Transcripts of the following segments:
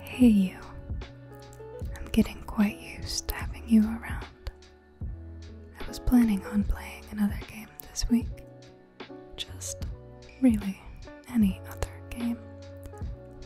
Hey, you. I'm getting quite used to having you around. I was planning on playing another game this week. Just really any other game.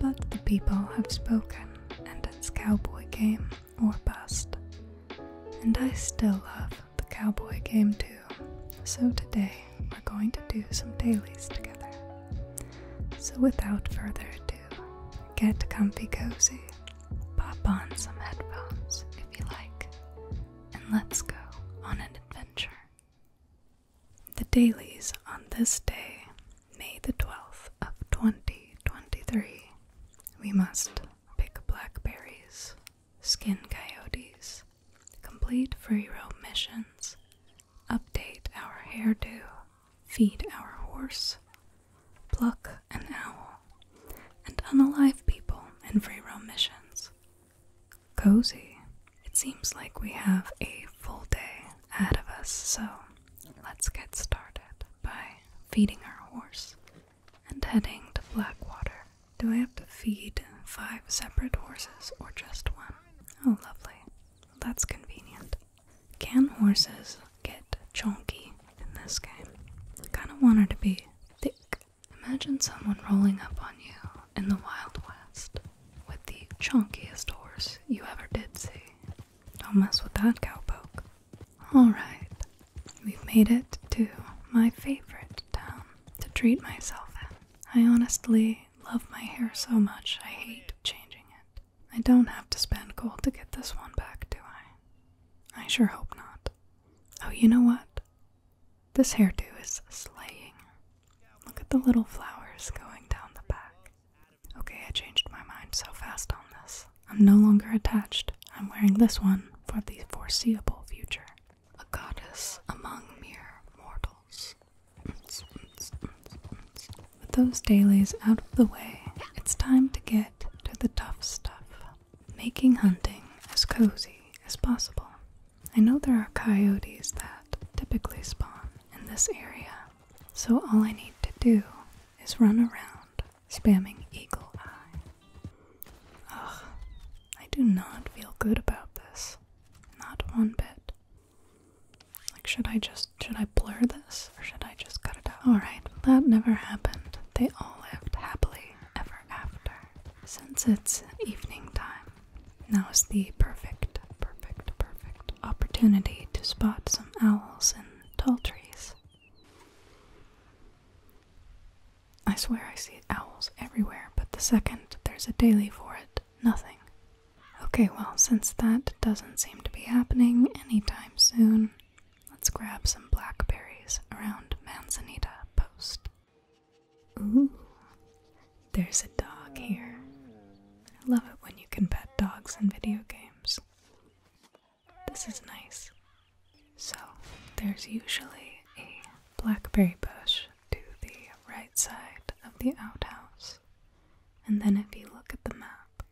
But the people have spoken, and it's cowboy game or bust. And I still love the cowboy game too, so today we're going to do some dailies together. So without further ado, get comfy cozy, pop on some headphones if you like, and let's go on an adventure. The dailies on this day, May the 12th of 2023, we must pick blackberries, skin coyotes, complete free roam missions, update our hairdo, feed our horse, pluck an owl, and unalive people in free roam missions. Cozy. It seems like we have a full day ahead of us, so let's get started by feeding our horse and heading to Blackwater. Do I have to feed five separate horses or just one? Oh, lovely. That's convenient. Can horses get chunky in this game? I kind of want her to be thick. Imagine someone rolling up on you in the Wild West with the chunkiest horse you ever did see. Don't mess with that cowpoke. Alright, we've made it to my favorite town to treat myself in. I honestly love my hair so much, I hate changing it. I don't have to spend gold to get this one back, do I? I sure hope not. Oh, you know what? This hairdo is slaying. Look at the little flowers going down the back. Okay, I changed my mind so fast on this. I'm no longer attached. I'm wearing this one for the foreseeable future. A goddess among mere mortals. With those dailies out of the way, it's time to get to the tough stuff. Making hunting as cozy as possible. I know there are coyotes that typically spawn in this area, so all I need to do is run around spamming Eagle Eye. Ugh, I do not feel good about this. Not one bit. Like, should I just, should I blur this or should I just cut it out? Alright, that never happened. They all lived happily ever after. Since it's evening time, now is the perfect, perfect, perfect opportunity to spot some owls in tall trees. I swear I see owls everywhere, but the second there's a daily for it, nothing. Okay, well, since that doesn't seem to be happening anytime soon, let's grab some blackberries around Manzanita Post. Ooh, there's a dog here. I love it when you can pet dogs in video games. This is nice. So, there's usually a blackberry bush to the right side of the outhouse. And then, if you look at the map,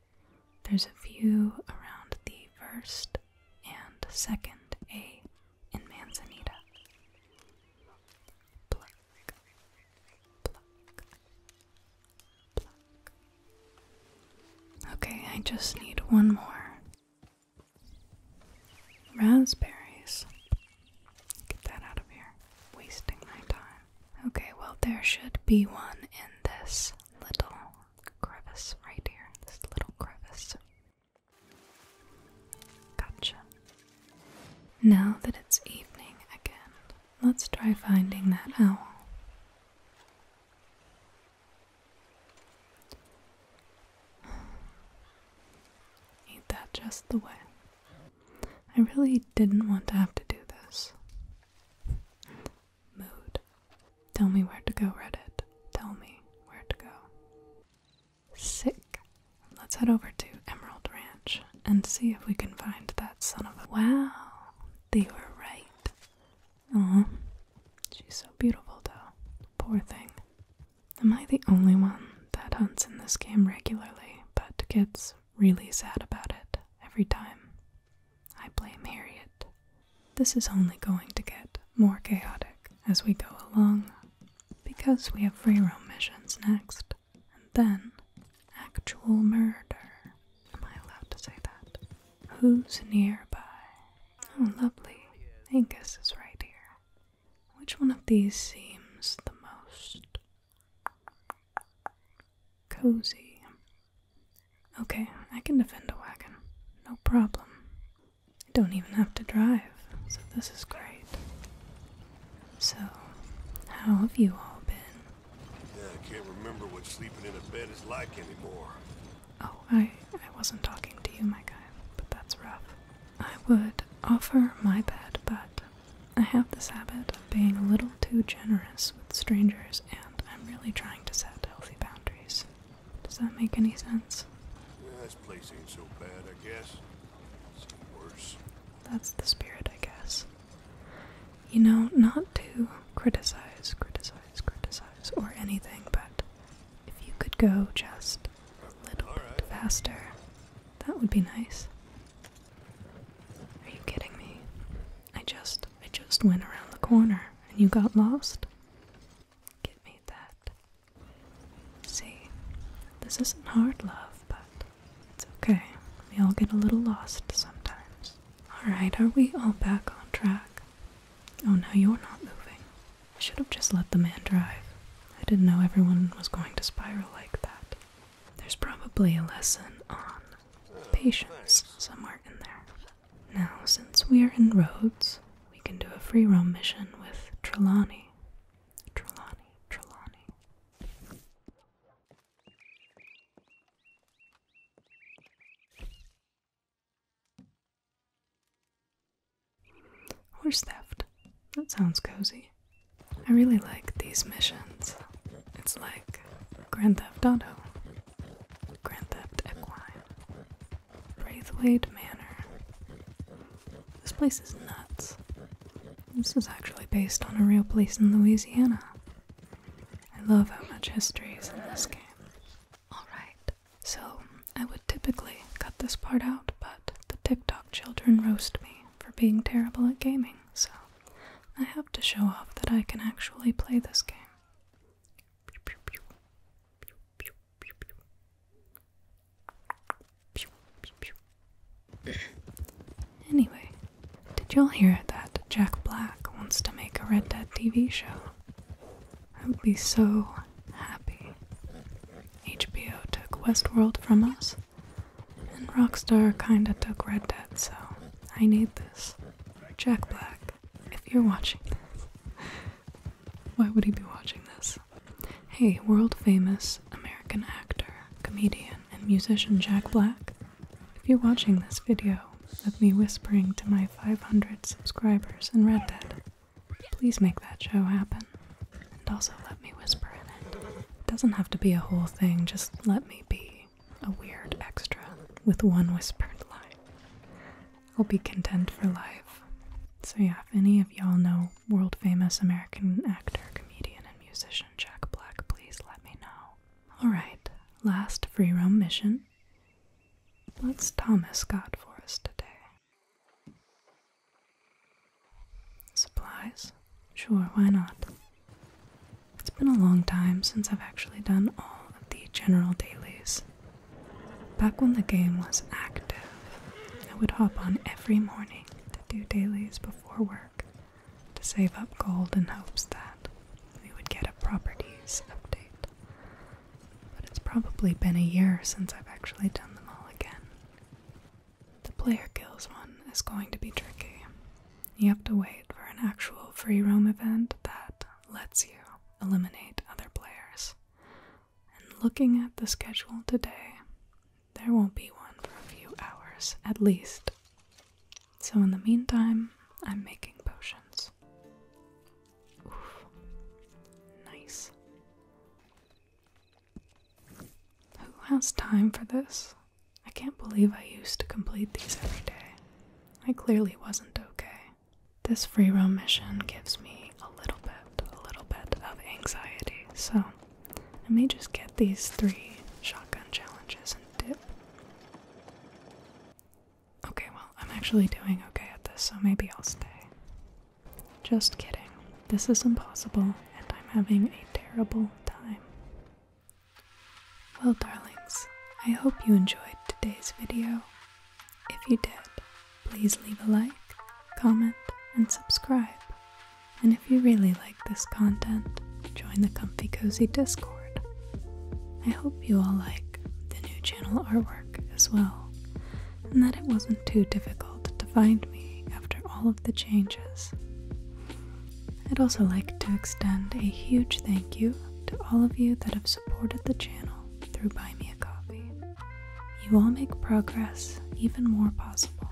there's a view around the first and second A in Manzanita. Okay, I just need one more. Raspberries. Get that out of here. Wasting my time. Okay, well, there should be one in this little crevice right here. This little crevice. Gotcha. Now that it's evening again, Let's try finding that owl. Ain't that just the way? I really didn't want to have to do this. Mood. Tell me where to go, Reddit. Tell me where to go. Sick. Let's head over to Emerald Ranch and see if we can find that son of a. Wow, they were right. Aw, she's so beautiful though. Poor thing. Am I the only one that hunts in this game regularly, but gets really sad about it every time? I blame Harriet. This is only going to get more chaotic as we go along because we have free roam missions next and then actual murder. Am I allowed to say that? Who's nearby? Oh, lovely. Angus is right here. Which one of these seems the most cozy? Okay, I can defend a wagon. No problem. I don't even have to drive, so this is great. So, how have you all been? Yeah, I can't remember what sleeping in a bed is like anymore. Oh, I, I wasn't talking to you, my guy, but that's rough. I would offer my bed, but I have this habit of being a little too generous with strangers, and I'm really trying to set healthy boundaries. Does that make any sense? Yeah, this place ain't so bad, I guess. That's the spirit, I guess. You know, not to criticize, criticize, criticize, or anything, but if you could go just a little bit faster, that would be nice. Are you kidding me? I just, I just went around the corner and you got lost. Get me that. See, this isn't hard love, but it's okay. We all get a little lost sometimes. Alright, are we all back on track? Oh, now you're not moving. I should have just let the man drive. I didn't know everyone was going to spiral like that. There's probably a lesson on patience somewhere in there. Now, since we're in Rhodes, we can do a free roam mission with Trelawney. Trelawney, Trelawney. Horse theft. That sounds cozy. I really like these missions. It's like Grand Theft Auto, Grand Theft Equine, Braithwaite Manor. This place is nuts. This is actually based on a real place in Louisiana. I love how much history is in this game. Alright, so I would typically cut this part out, but the TikTok children roast me for being terrible at gaming, so I have to show off that I can actually play this game. Anyway, did y'all hear that Jack Black wants to make a Red Dead TV show? I would be so happy. HBO took Westworld from us, and Rockstar kinda took Red Dead, so I need this. Jack Black, if you're watching this, why would he be watching this? Hey, world famous American actor, comedian, and musician Jack Black. If you're watching this video let me whispering to my 500 subscribers in Red Dead, please make that show happen. And also let me whisper in it. It doesn't have to be a whole thing, just let me be a weird extra with one whispered line. I'll be content for life. So, yeah, if any of y'all know world famous American actor, comedian, and musician Jack Black, please let me know. Alright, last free roam mission. Let's Thomas got for us today? Supplies? Sure, why not? It's been a long time since I've actually done all of the general dailies. Back when the game was active, I would hop on every morning to do dailies before work to save up gold in hopes that we would get a properties update. But it's probably been a year since I've actually done them all again. The player kills one is going to be tricky. You have to wait for an actual free roam event that lets you eliminate other players. And looking at the schedule today, there won't be one for a few hours at least. So, in the meantime, I'm making potions. Oof. Nice. Who has time for this? I can't believe I used to complete these every day. I clearly wasn't okay. This free roam mission gives me a little bit, a little bit of anxiety, so I may just get these three shotgun challenges and dip. Okay, well, I'm actually doing okay at this, so maybe I'll stay. Just kidding. This is impossible, and I'm having a terrible time. Well, darlings, I hope you enjoyed today's video. If you did, please leave a like, comment, and subscribe. And if you really like this content, join the Comfy Cozy Discord. I hope you all like the new channel artwork as well, and that it wasn't too difficult to find me after all of the changes. I'd also like to extend a huge thank you to all of you that have supported the channel through Buy Me a Coffee. You all make progress even more possible,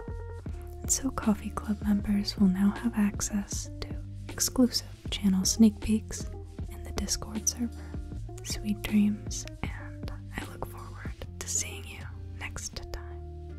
and so Coffee Club members will now have access to exclusive channel sneak peeks in the Discord server. Sweet dreams, and I look forward to seeing you next time.